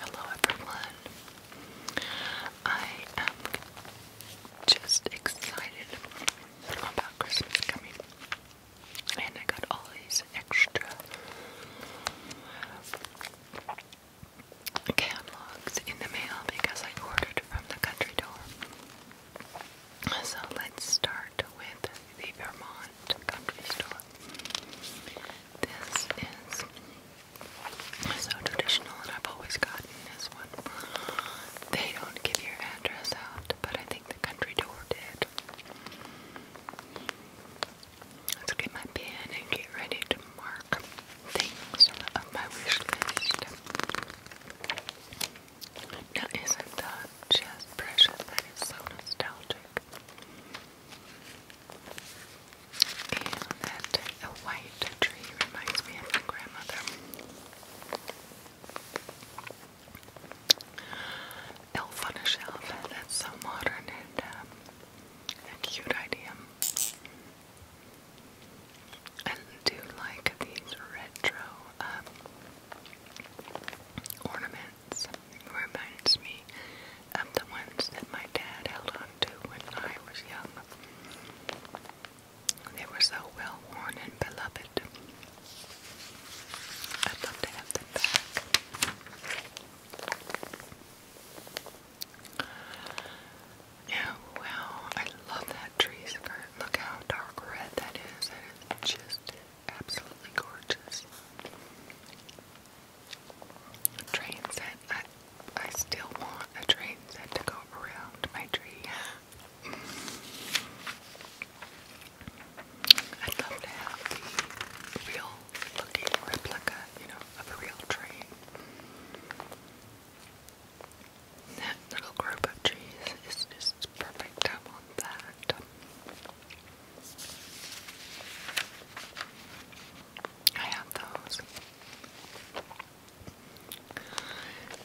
Hello, everyone. I am just excited about Christmas coming, and I got all these extra catalogs in the mail because I ordered from the country door. So let's start with the Vermont Country Store. This is so traditional, and I've always gotten this one. They don't give your address out, but I think the country door did. Let's get my pen and get ready mark things on my wish list. Now is just precious? That is so nostalgic. And that white tree reminds me of my grandmother. Elf on a shelf, that's so modern and um, a cute idea and do like these retro um, ornaments. Reminds me of the ones that my dad held on to when I was young. They were so well worn and beloved. I'd love to have them back wow, I love that tree skirt. Look how dark red that is. That is just absolutely gorgeous. train set. I, I still want a train set to go around my tree. I'd love to have the real looking replica, you know, of a real train. That little group of trees is just perfect. I want that. I have those.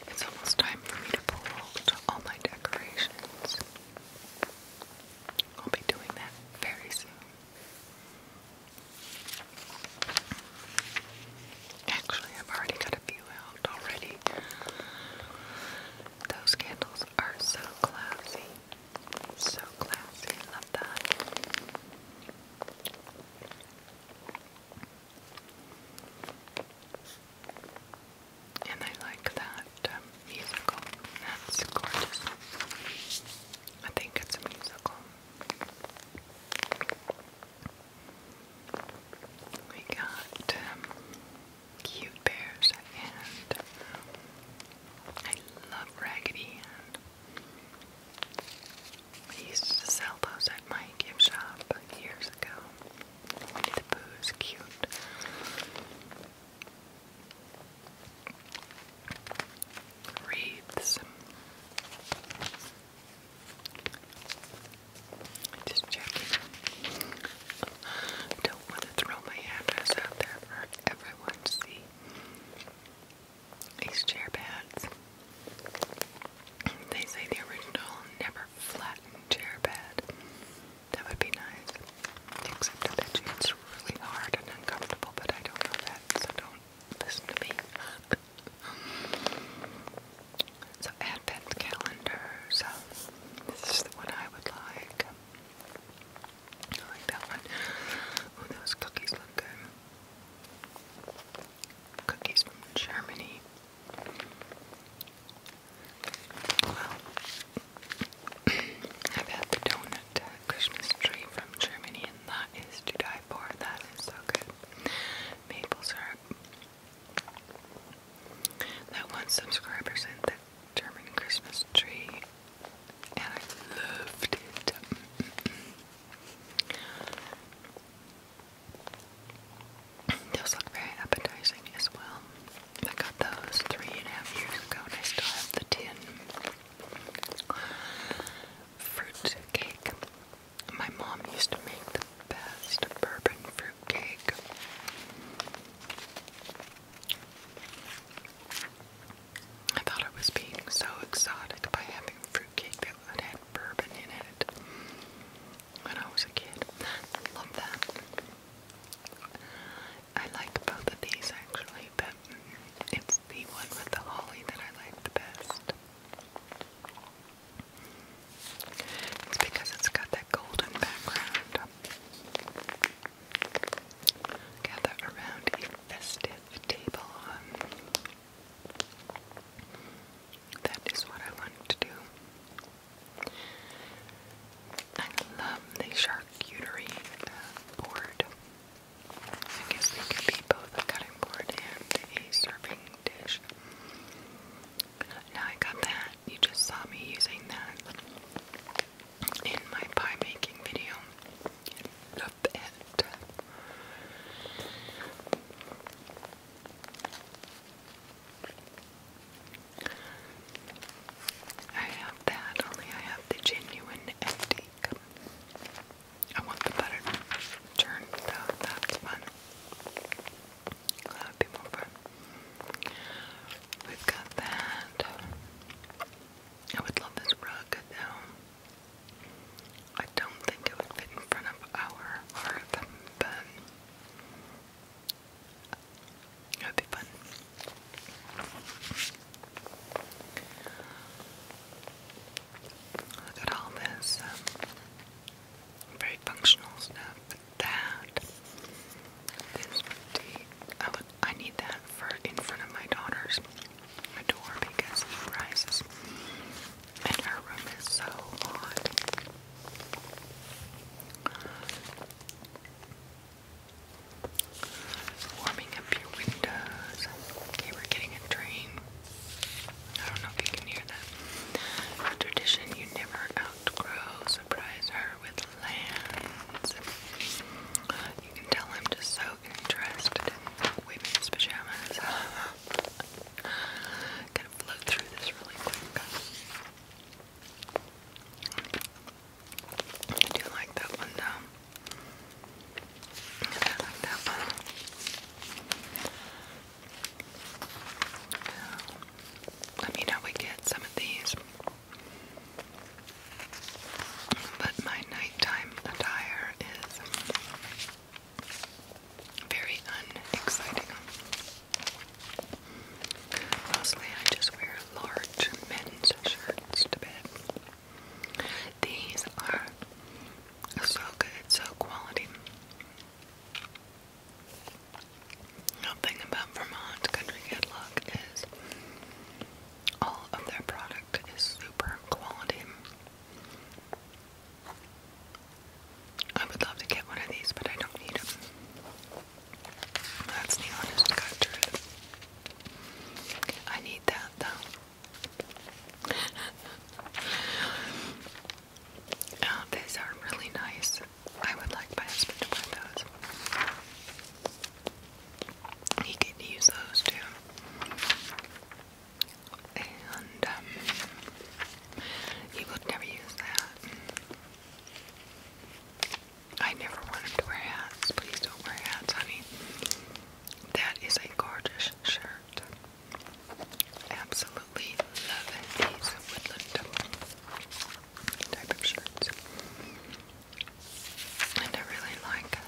It's almost time for me to pull all my decorations. I'll be doing that very soon. Actually, I've already got a few out already. Those candles are so classy. So classy. I love that. And I like that um, musical. That's gorgeous. I think it's a musical. We got um, cute bears and um, I love Raggedy I used to sell those at my gift shop years ago. the Pooh's cute. Wreaths. Just checking. Don't want to throw my address out there for everyone to see. These chair pads. They say the original never flattened chair pad. That would be nice. Except I bet you it's really hard and uncomfortable, but I don't know so don't listen to me. so advent calendars. Um, this is the one I would like. I like that one. Oh, those cookies look good. Cookies from Germany. Well, I've had the donut uh, Christmas tree from Germany, and that is to die for. That is so good maple syrup. That one subscriber sent the German Christmas tree, and I loved it. Mm-hmm. Those look very appetizing as well. I got those three and a half years ago, I still have the tin fruit my mom used to make the best bourbon fruit cake. I thought I was being so exotic by having fruitcake that had bourbon in it when I was a kid. I that. I like both of these actually, but it's the one with the holly that I like the best. It's because it's got that golden background. Gather around a festive table. That is what I want to do. I love the charcuterie uh, board. I guess they could be both a cutting board and a serving dish. Now I got that. You just saw me using that in my pie making video. Love it. I have that, only I have the genuine antique. I want the butter turned That's fun. That'd be more We've got that. I would love this rug though. I don't think it would fit in front of our hearth, but it would be fun. Look at all this um, very functional stuff. But that is pretty. I would. need that for in front of my daughter's door because he rises, and her room is so hot. Warming up your windows. Okay, we're getting a train. I don't know if you can hear that. tradition you never outgrow. Surprise her with lands. You can tell I'm just so interested in women's pajamas. gonna float through this really quick. I do like that one though. I like that one. Let me know we get some of these. But my nighttime attire is very unexciting. Mostly I just wear large men's shirts to bed. These are so good, so quality. Nothing about Vermont Country Catalog is all of their product is super quality. I would love to get one of these, but I don't need them. That's the honest God I need that though. Uh, these are really nice. I would like my husband to wear those. He can use those too. And um, he would never use that. I never want him to wear hats. Please don't wear hats, honey. That is a gorgeous shirt. Absolutely loving these woodland type of shirts. And I really like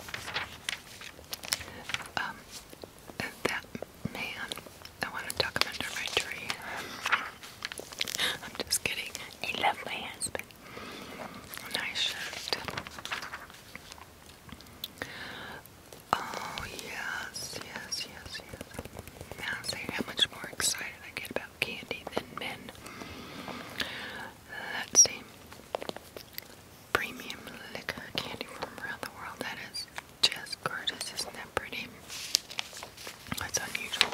um, that man. I want to tuck him under I'm just kidding. I love my husband. Nice shirt. Oh, yes, yes, yes, yes. Man, say how much more excited I get about candy than men. Uh, let's see. Premium liquor candy from around the world. That is just gorgeous. Isn't that pretty? That's unusual.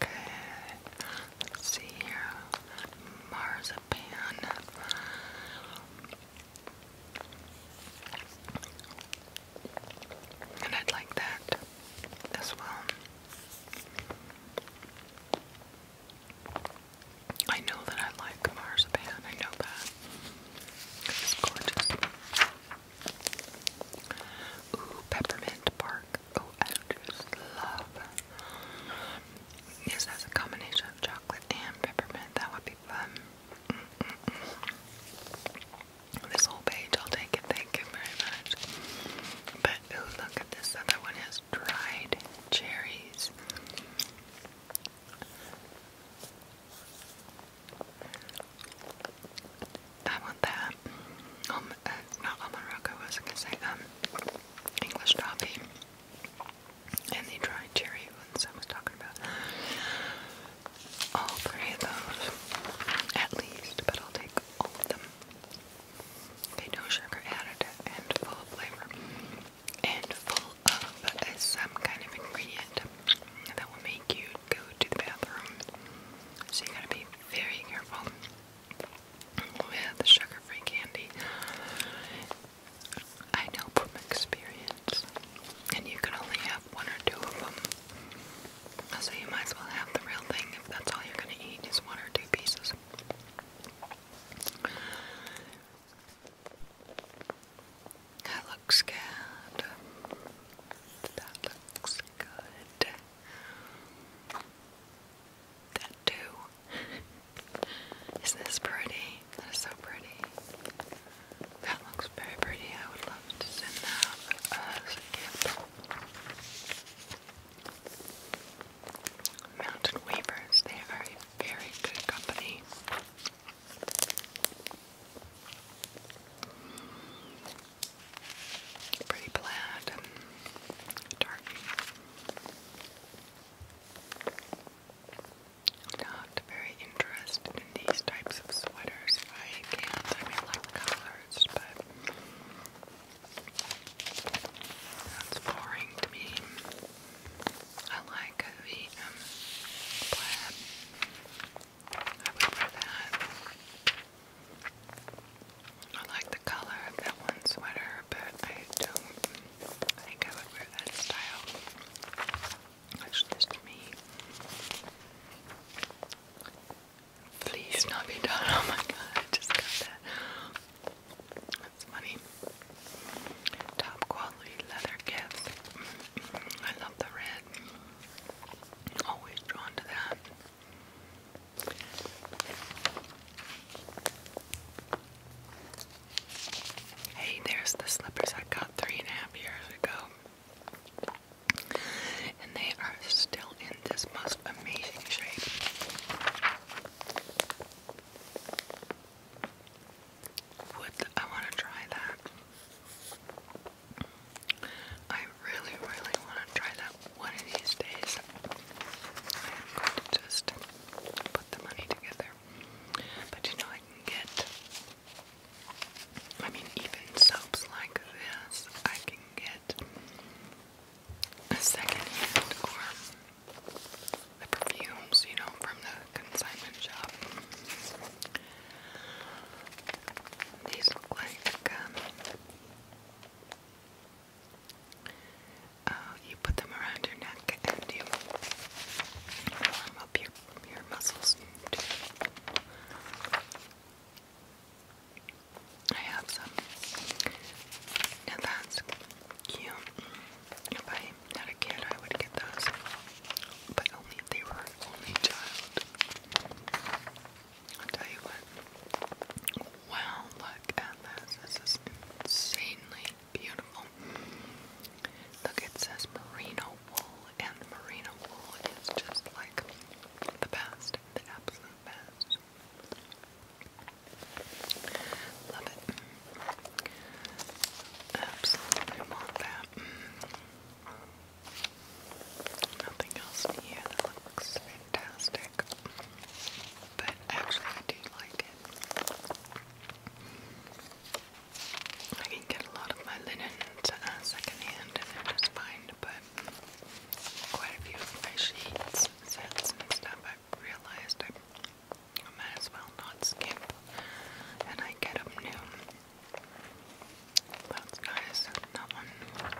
Okay, let's see here. Marzipan. And i like that as well. I know that I like marzipan, I know that. It's gorgeous. Ooh, peppermint bark. Oh, I just love this as a combination of chocolate and peppermint. That would be fun. This whole page, I'll take it. Thank you very much. But look at this other one. Has dried cherries. I want that. Um, uh, not almond I was gonna say um. English toffee and the dried cherry ones I was talking about. All three of those, at least, but I'll take all of them. no sugar added and full of flavor and full of some kind of ingredient that will make you go to the bathroom. So you gotta be very careful we oh, sugar-free candy. I know from experience, and you can only have one or two of them. So you might as well have the real thing if that's all you're gonna eat is one or two pieces. That looks good. That looks good that too. Isn't this pretty? That is so pretty. That looks very pretty. I would love to send that as a Mountain Weavers, they are very good company. Pretty plaid and dark. Not very interested in these types of sweaters. I can't. I like colors, but that's boring to me. I like a V um, plaid. I would that. I like the color of that one sweater, but I don't think I would wear that style. That's just me. Please not be done. Oh my god, just got that. That's funny. Top quality leather gifts. Mm-hmm. I love the red. Always drawn to that. Hey, there's the slippers I got three and a half years ago. And they are still in this most amazing shape. I want to try that? I really, really want to try that one of these days I am going to just put the money together. But you know, I can get, I mean, even soaps like this, I can get a second hand or the perfumes, you know, from the consignment shop. These look like um, uh, you put them around your neck and you warm up your, your muscles. I have some. Now that's cute. If I had a kid, I would get those. But only they were only child. I'll tell you what. Wow, look at this. This is insanely beautiful. Look, it says merino wool, and merino wool is just like the best, the absolute best. Love it. Absolutely want that. Nothing else here. That looks fantastic back. But actually, I do like it. I can get a lot of my linen uh, secondhand, and they're just fine. But quite a few of my sheets, sets, and stuff, i realized I might as well not skip, and I get them new. That's nice. That one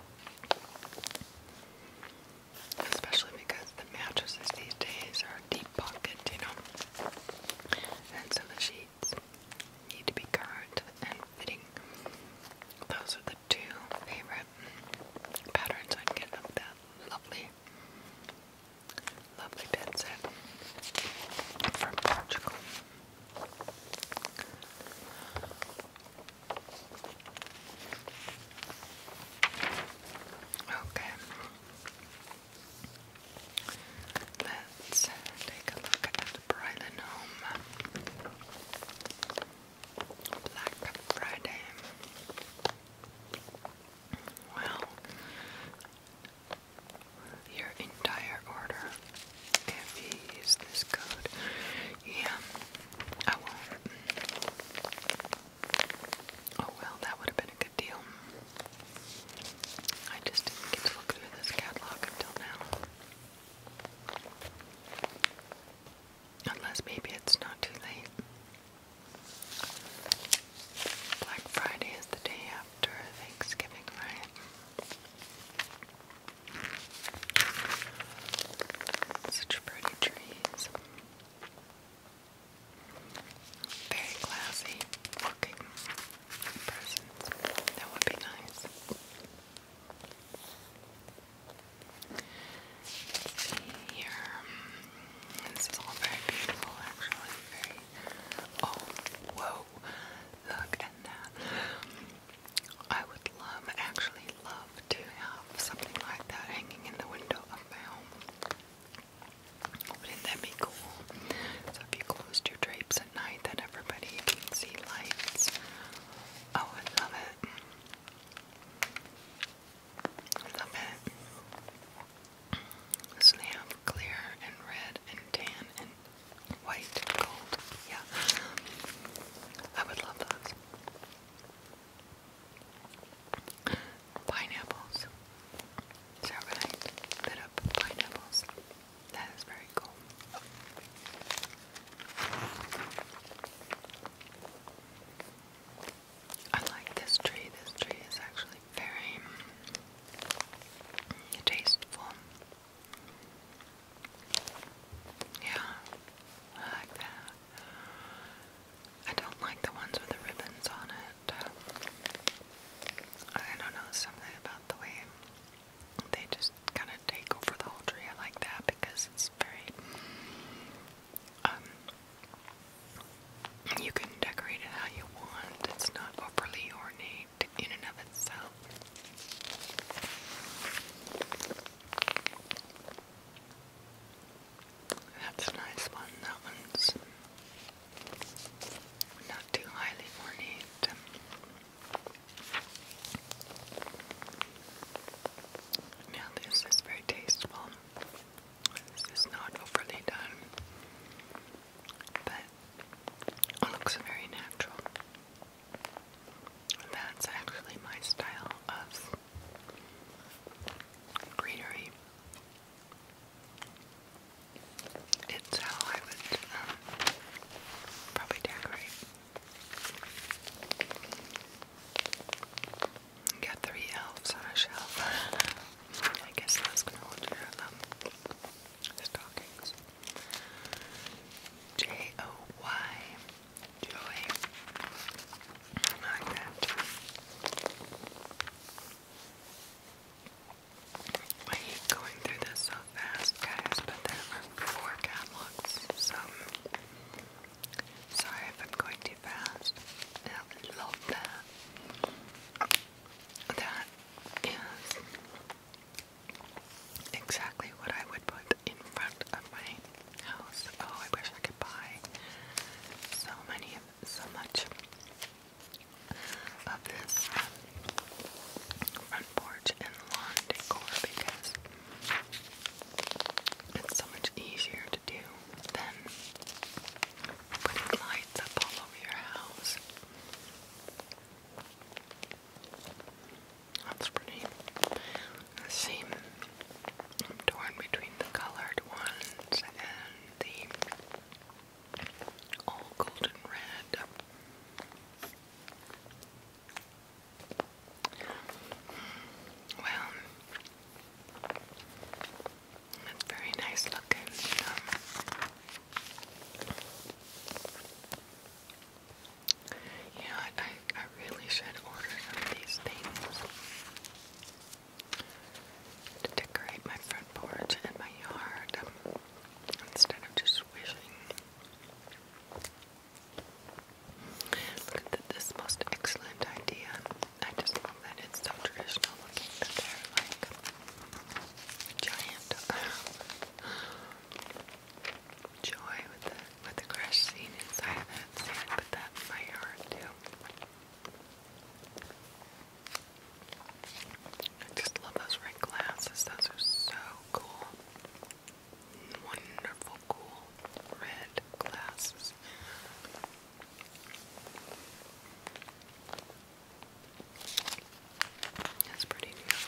especially because the mattresses these days are deep pocket, you know, and so the sheets need to be current and fitting. Those are the two favorite patterns i get of that lovely, lovely bed set from Portugal. Okay. Let's take a look at Brylenome. Black Friday. Well, your entire order if you use this code. Yeah, I will Oh well, that would have been a good deal. I just didn't get to look through this catalog until now. Unless maybe it's not too late. Black Friday is the day after Thanksgiving, right? Such pretty trees. Very classy looking presents. That would be nice. here. This is all very beautiful, actually. Very. Oh, whoa! Look at that. I would love, actually love love to have something like that hanging in the window of my home. Wouldn't that be cool? So if you closed your drapes at night, then everybody can see lights. Oh, I love it. I love it. So they have clear and red and tan and white and gold. Yeah. I would love those. Pineapples. So we're up pineapples. That is very cool. I like this tree. This tree is actually very tasteful. Yeah, like that. I don't like the ones with the ribbons on it. I don't know, something about the way they just kind of take over the whole tree. I like that because it's very. Um, you can decorate it how you want, it's not overly ornate in and of itself. That's a nice one. That one's not too highly ornate. Now this is very tasteful. This is not overly done, but looks very natural. That's actually my style of greenery. It's how I would um, probably decorate. Got three elves on a shelf. I guess that's gonna hold your um, stockings. J O Y Julie. Like going through this so fast, guys, but there are four catalogs, so sorry if I'm going too fast. I love that. That is exactly what I would put in front of my house. Oh, I wish I could buy so many, so much of this front porch and lawn decor because it's so much easier to do than putting lights up all over your house. That's pretty. The same I'm torn between the colored ones and the all golden red. Well, it's very nice looking. Um, yeah, I I really should order some of these things to decorate my front porch and my yard um, instead of just wishing. Look at this most excellent idea. I just love that it's so traditional looking they're like giant joy with the with the crash scene inside of it, so I put that in my yard too. I just love those red glasses, those are so cool. Wonderful, cool red glasses. That's pretty new.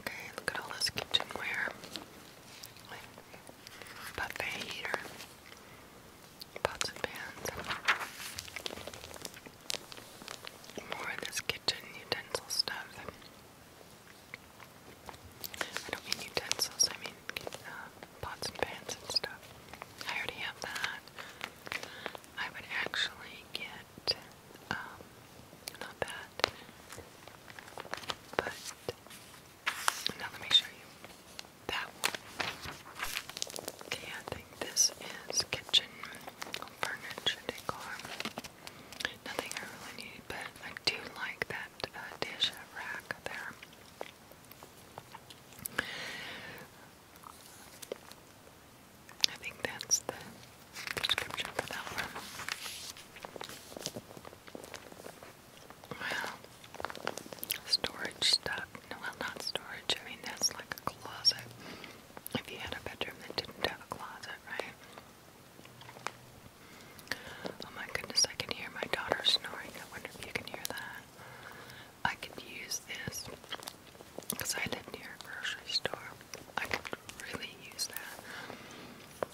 Okay, look at all this kitchenware buffet heater, pots and pans, more of this kitchen utensil stuff. I don't mean utensils, I mean uh, pots and pans and stuff. I already have that. I would actually get, um, not that, but now let me show you that Okay, I think this is kitchen furniture decor. Nothing I really need, but I do like that uh, dish rack there. I think that's the description for that one. Well, storage stuff. No, well, not storage. I mean, that's like a closet. If you had a bedroom that didn't have a closet, right? Oh my goodness, I can hear my daughter snoring. I wonder if you can hear that. I could use this because I live near a grocery store. I could really use that.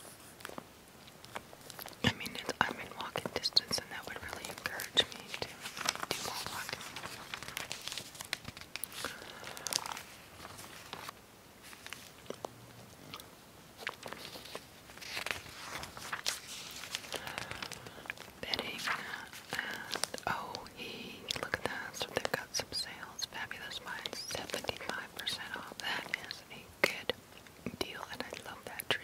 I mean, it's, I'm in walking distance, and that would really encourage me to do more walking. Bedding, uh, and oh, he look at that! So they've got some sales. Fabulous Minds, seventy-five percent off. That is a good deal, and I love that tree.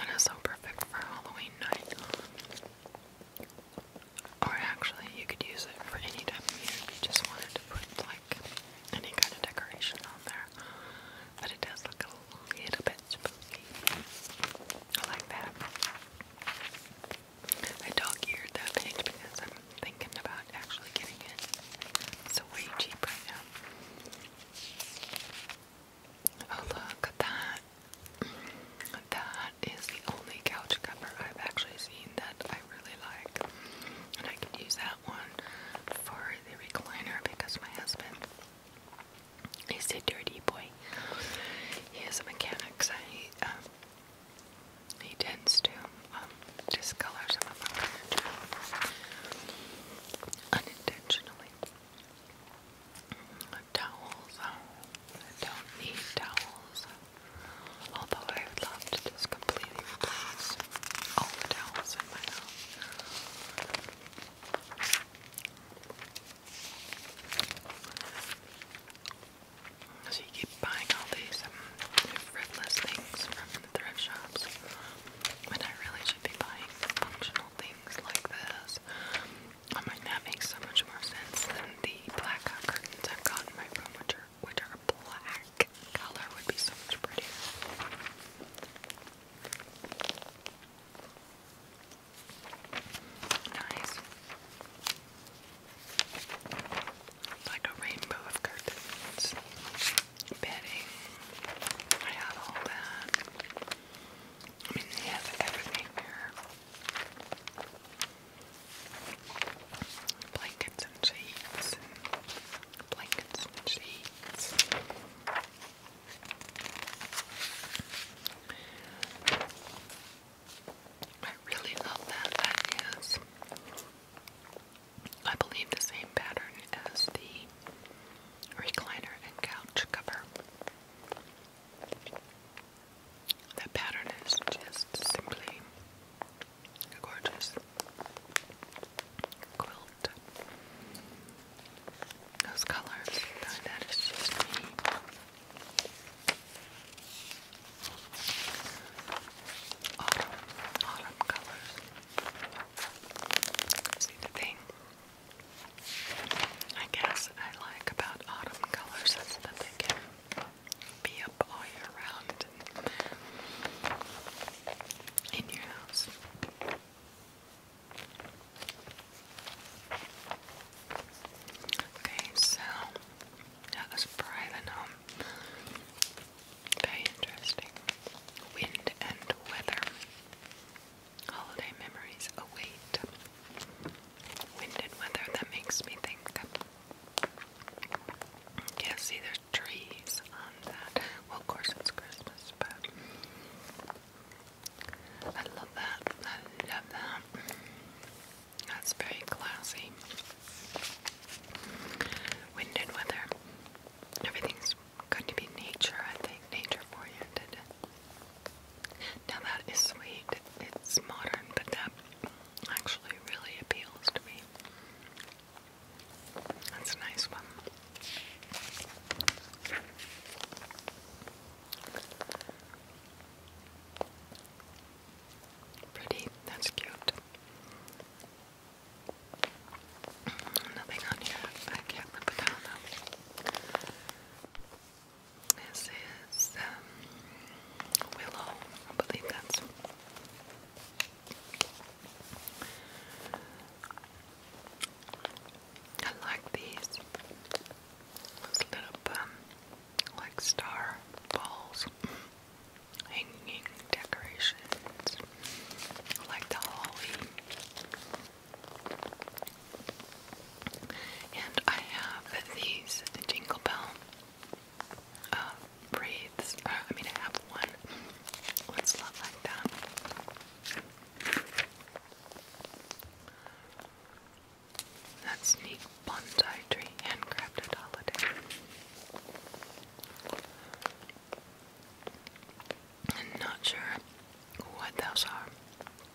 And it's so perfect for Halloween night. Or actually, you could use it for any time of year if you just wanted to put like any kind of decoration on there. But it does look a little bit spooky. I like that. I dog eared that page because thinking about actually getting it. It's way cheap right now. Oh look, that that is the only couch cover I've actually seen that I really like. And I could use that one for the recliner because my husband is a dirty boy. He is a mechanic, so he um, he tends to um, discolor some of my unintentionally. Mm-hmm. Towels. Oh, I don't need towels. Although I would love to just completely replace all the towels in my house buying all these um, things from thrift shops when I really should be buying functional things like this. I mean, that makes so much more sense than the blackout curtains I've got in my room, which are, which are black. Color would be so much prettier. Nice like a rainbow of curtains, bedding. I have all that. I mean, he has everything here. Blankets and sheets, blankets and sheets. I really love that. That is I believe the same pattern as the recliner and couch cover. That pattern is just simply gorgeous. Quilt. Those colors. That is just me autumn, autumn colors. See the thing? I guess I like about autumn colors is that they can be up all year round in your house. Okay, so that was Brian home very interesting. Wind and weather. Holiday memories await. Wind and weather, that makes me think. Yeah, see, there's trees on that. Well, of course, it's Christmas, but I love that. I love that. That's very classy wind and weather. Everything's going to be nature, I think, nature oriented. Now that is sweet. It's modern, but that actually really appeals to me. That's a nice one. Pretty, that's cute. Nothing on here. I can't remember that though. This is um, Willow, I believe that's. I like these. Those little um, like star balls hanging decorations like the holly. And I have these Jingle Bell uh, uh, I mean, I have one. What's not like that? That's neat bonsai tree, handcrafted holiday. I'm not sure what those are.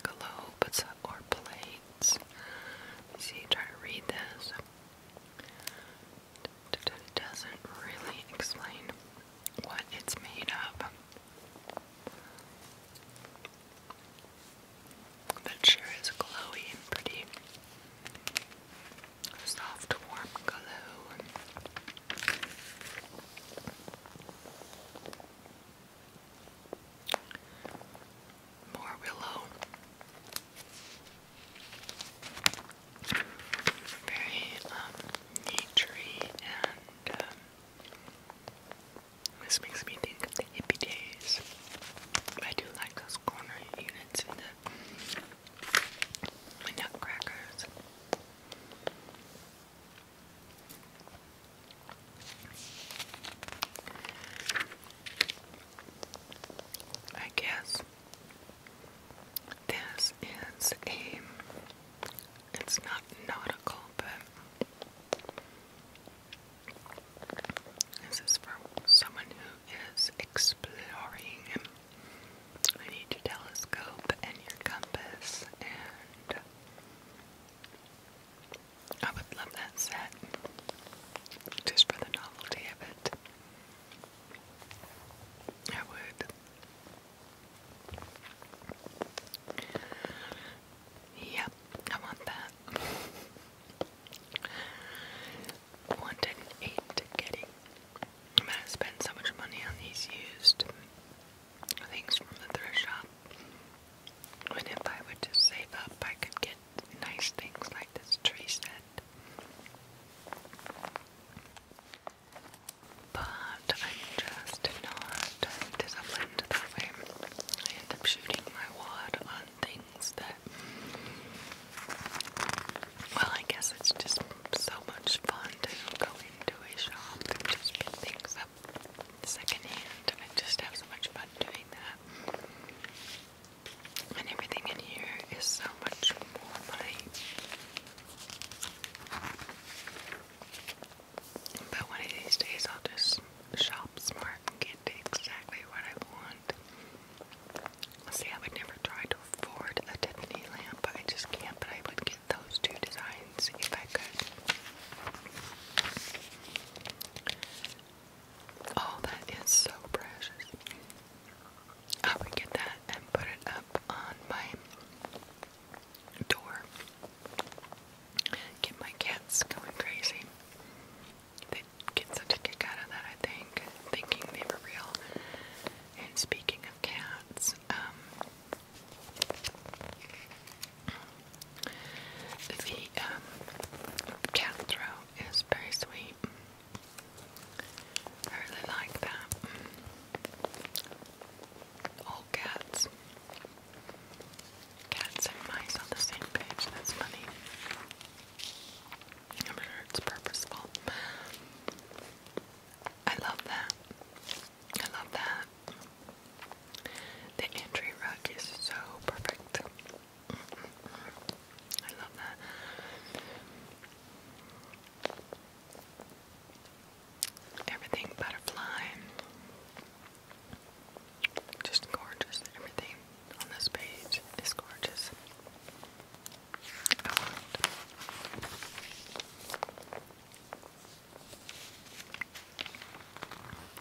Globes or plates. See, try to read this. doesn't really explain what it's made of. But sure is glowy and pretty soft warm glue. More willow. Very um, and um, this makes me think of the hippie days. I do like those corner units in the nutcrackers. I guess this is a it's not nautical but this is for someone who is exploring. I need your telescope and your compass, and I would love that set just for the novelty of it. I would. Yep, I want that wanted an I'm gonna spend so much money on these used things from the thrift shop. And if I were to save up, I could get nice things like this tree set. But I'm just not disciplined that way. I end up shooting my wad on things that well, I guess it's just so much fun to go into a shop and just pick things up secondhand. I just have so much fun doing that. And everything in here is so much more money. But one of these days I'll just shop smart and get exactly what I want. See, I would never try to afford a Tiffany lamp. but I just can't, but I would get those two designs if I could. Oh, that is so precious. I would get that and put it up on my door. Get my cats going crazy. They get such a kick out of that, I think, thinking they were real. And speaking of cats, um, the um, cat throw is very sweet. really like that. All cats. Cats and mice on the same page, that's funny. I'm sure it's purposeful. I love that. I love that. The entry rug is so perfect. I love that. Everything butterfly. Just gorgeous. Everything on this page is gorgeous. I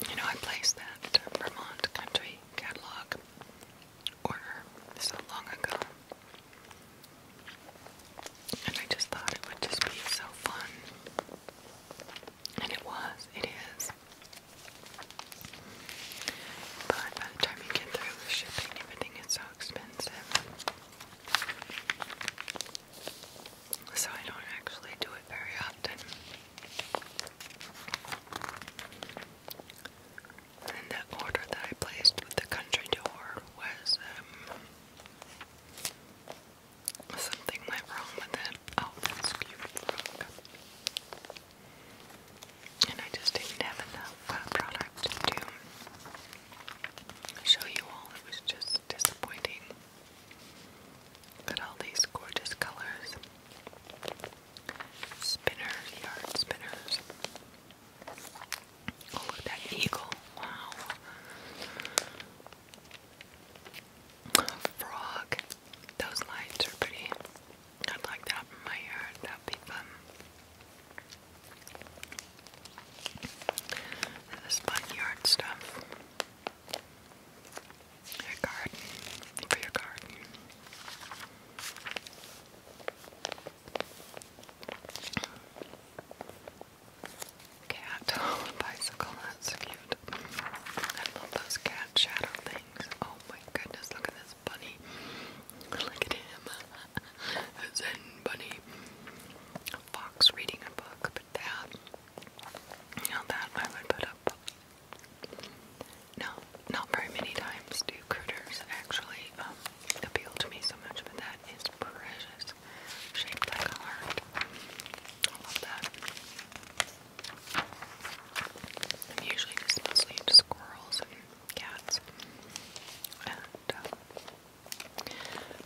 You know, I placed that Vermont Country Catalog order so long ago. And I just thought it would just be so fun. And it was, it is. But by the time you get through shipping, everything is so expensive. So I don't actually do it very often. And the order that I placed with the country door was um, something went wrong with it. Oh, that's frog and I just didn't have enough uh, product to show you all. It was just disappointing. Got all these gorgeous colors. Spinners, yard spinners. Oh, look that eagle. Wow. frog. Those lights are pretty. I'd like that in my yard. That'd be this bunny backyard stuff. Your garden, for your garden. Cat bicycle, that's cute. I love those cat shadow things. Oh my goodness, look at this bunny. Look at him. a Zen bunny. A fox reading a book, but that. Now that I would put up. No, not very many times do critters actually um, appeal to me so much, but that is precious. Shaped like a heart. I love that. I'm usually just mostly into squirrels and cats. And uh,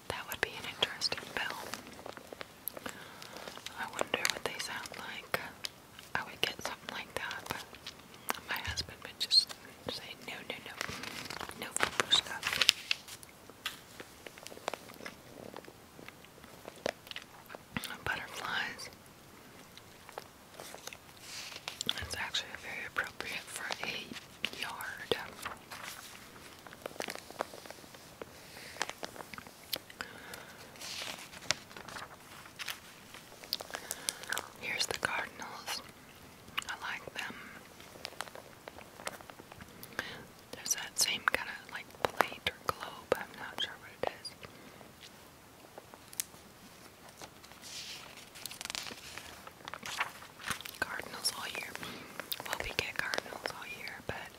that would be an interesting film. I wonder what they sound like. I would get something like that, but my husband would just say, no, no, no, no football stuff. Butterflies. It's actually very appropriate for a yard. Here's the cardinals. I like them. There's that same kind of like plate or globe. I'm not sure what it is. Cardinals all year. Well, we get cardinals all year, but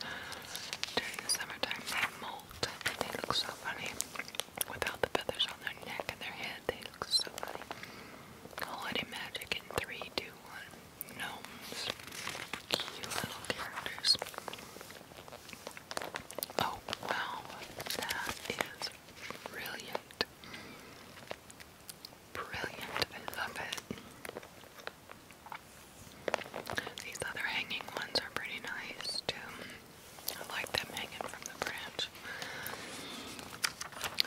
during the summertime they molt and they look so funny. Without the feathers on their neck and their head, they look so funny. Holiday magic in three, two, one. Gnomes. Cute little characters. Oh wow, that is brilliant. Brilliant. I love it. These other hanging ones are pretty nice too. I like them hanging from the branch.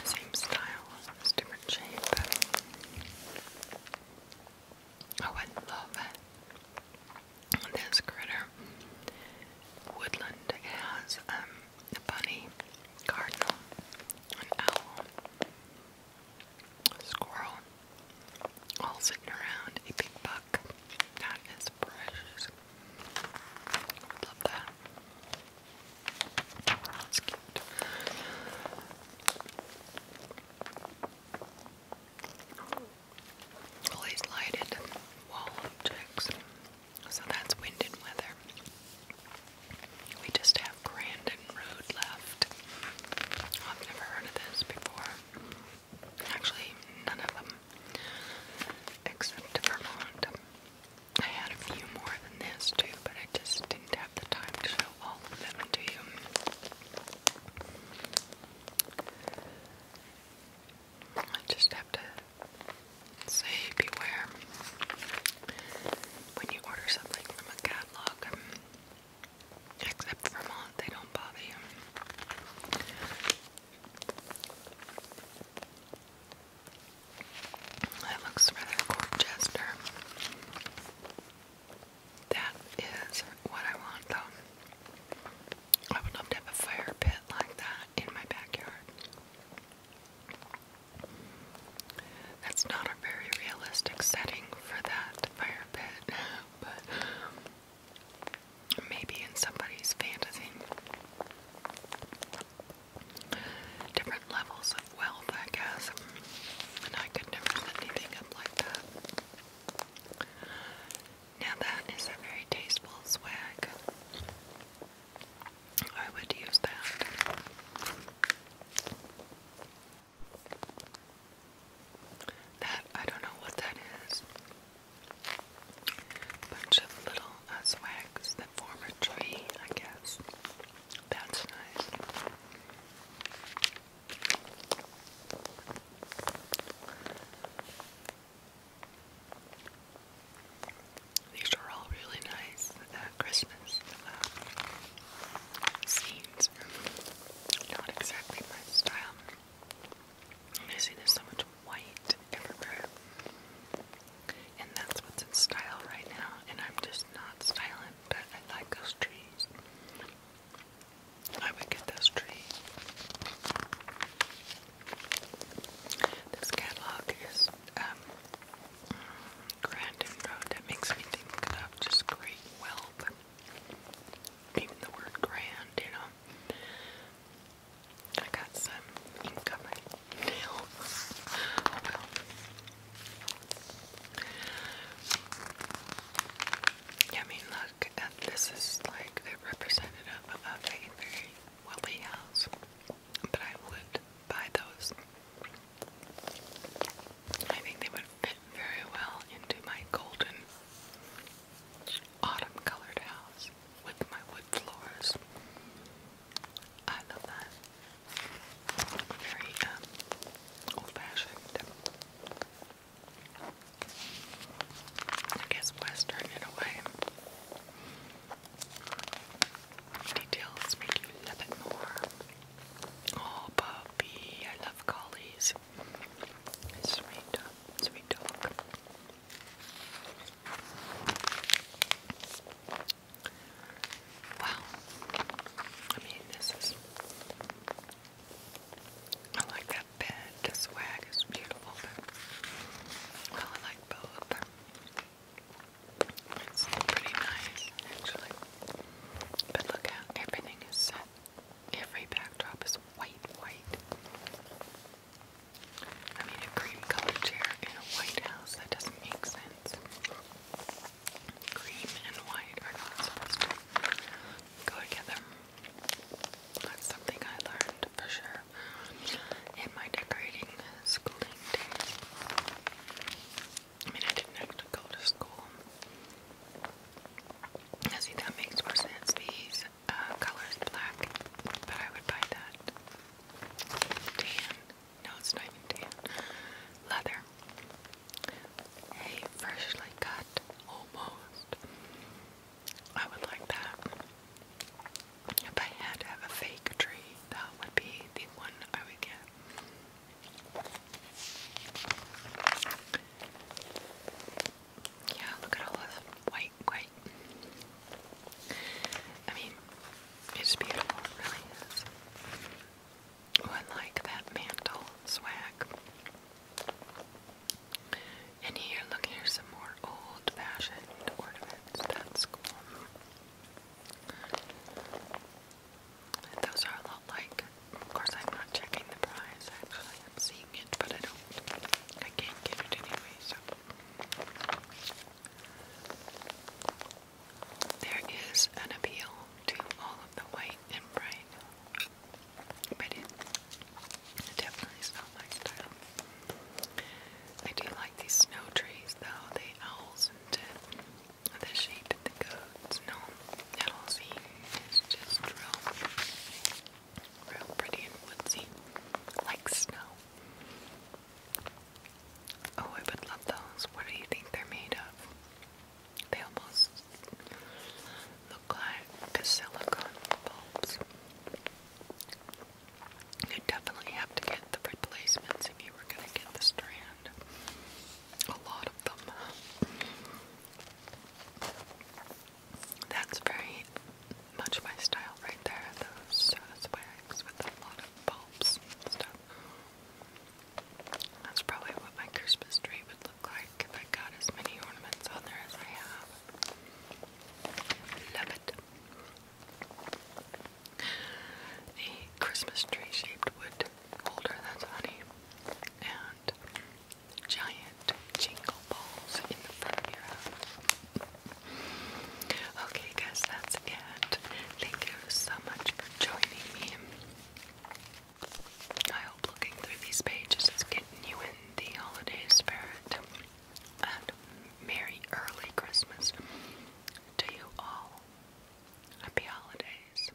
Same style, different shape. Oh, I love it. This critter. Woodland has um a bunny, cardinal, an owl, squirrel, all sitting around, a big buck. That is precious. love that. That's cute. All these lighted wall objects. So that's wind and weather. We just have Grandin Road left. I've never heard of this before. Actually, none of them. Except Vermont. I had a few more than this too, but I just didn't have the time to show all of them to you. I just have to say beware when you order something from a catalog. Except Vermont, they don't bother you. That looks rather Dorchester. That is what I want though. I would love to have a fire pit like that in my backyard. That's not a very realistic setting for that fire pit, but maybe in somebody's fantasy. Different levels of wealth, I guess. And I could never set anything up like that. Now that is a very tasteful swag. I would use that. That, I don't know what that is. Bunch of little uh, that form a tree, I guess. That's nice. These are all really nice uh, Christmas uh, scenes. Not exactly my style. I see there's so much white everywhere. And that's what's in style right now. And I'm just not styling, but I like those trees. I would get those trees. This catalog is um, Grand and Road. That makes me think of just great wealth. Even the word grand, you know. I got some ink on my nail. Oh, I mean, look, this is like the representative of a very Willie has, but I would buy those. I think they would fit very well into my golden autumn colored house with my wood floors. I love that. Very um, old fashioned. I guess Western in a way. Details make you love it more. Oh, puppy, I love collies. Sweet, sweet dog. Wow. I mean, this is. I like that bed. The swag is beautiful, Well, I like both. It's pretty nice, actually. But look how everything is set. Every backdrop is white, white. I mean, a cream colored chair in a white house, that doesn't make sense. Cream and white are not supposed to go together. That's something I learned for sure in my decorating schooling days. I mean, I didn't have to go to school. I see that makes more sense. These uh, colors black, but I would buy that. Tan. No, it's not even tan. Leather. A freshly cut, almost. I would like that. If I had to have a fake tree, that would be the one I would get. Yeah, look at all this white, white. I mean, it's beautiful, really Oh, I like that mantle swag. And here, look, here's some more old-fashioned ornaments. That's cool. Those are a lot like, of course I'm not checking the price actually, I'm seeing it, but I don't, I can't get it anyway, so. There is an appeal to all of the white and bright, but it definitely not my style. I do like these snow trees though, the owls and the sheep and the goats and all that whole scene is just real, real pretty and woodsy, like snow. Oh, I would love those. What do you think they're made of? They almost look like silicone bulbs. You definitely have to get the replacements if you were going to get the strand. A lot of them. That's very much my style right there, those uh, swags with a lot of bulbs stuff. That's probably what my Christmas tree would look like if I got as many ornaments on there as I have. Love it a Christmas tree shaped wood holder that's honey, and giant jingle balls in the front of your house. Okay, guys, that's it. Thank you so much for joining me. I hope looking through these pages is getting you in the holiday spirit and Merry Early Christmas to you all. Happy Holidays.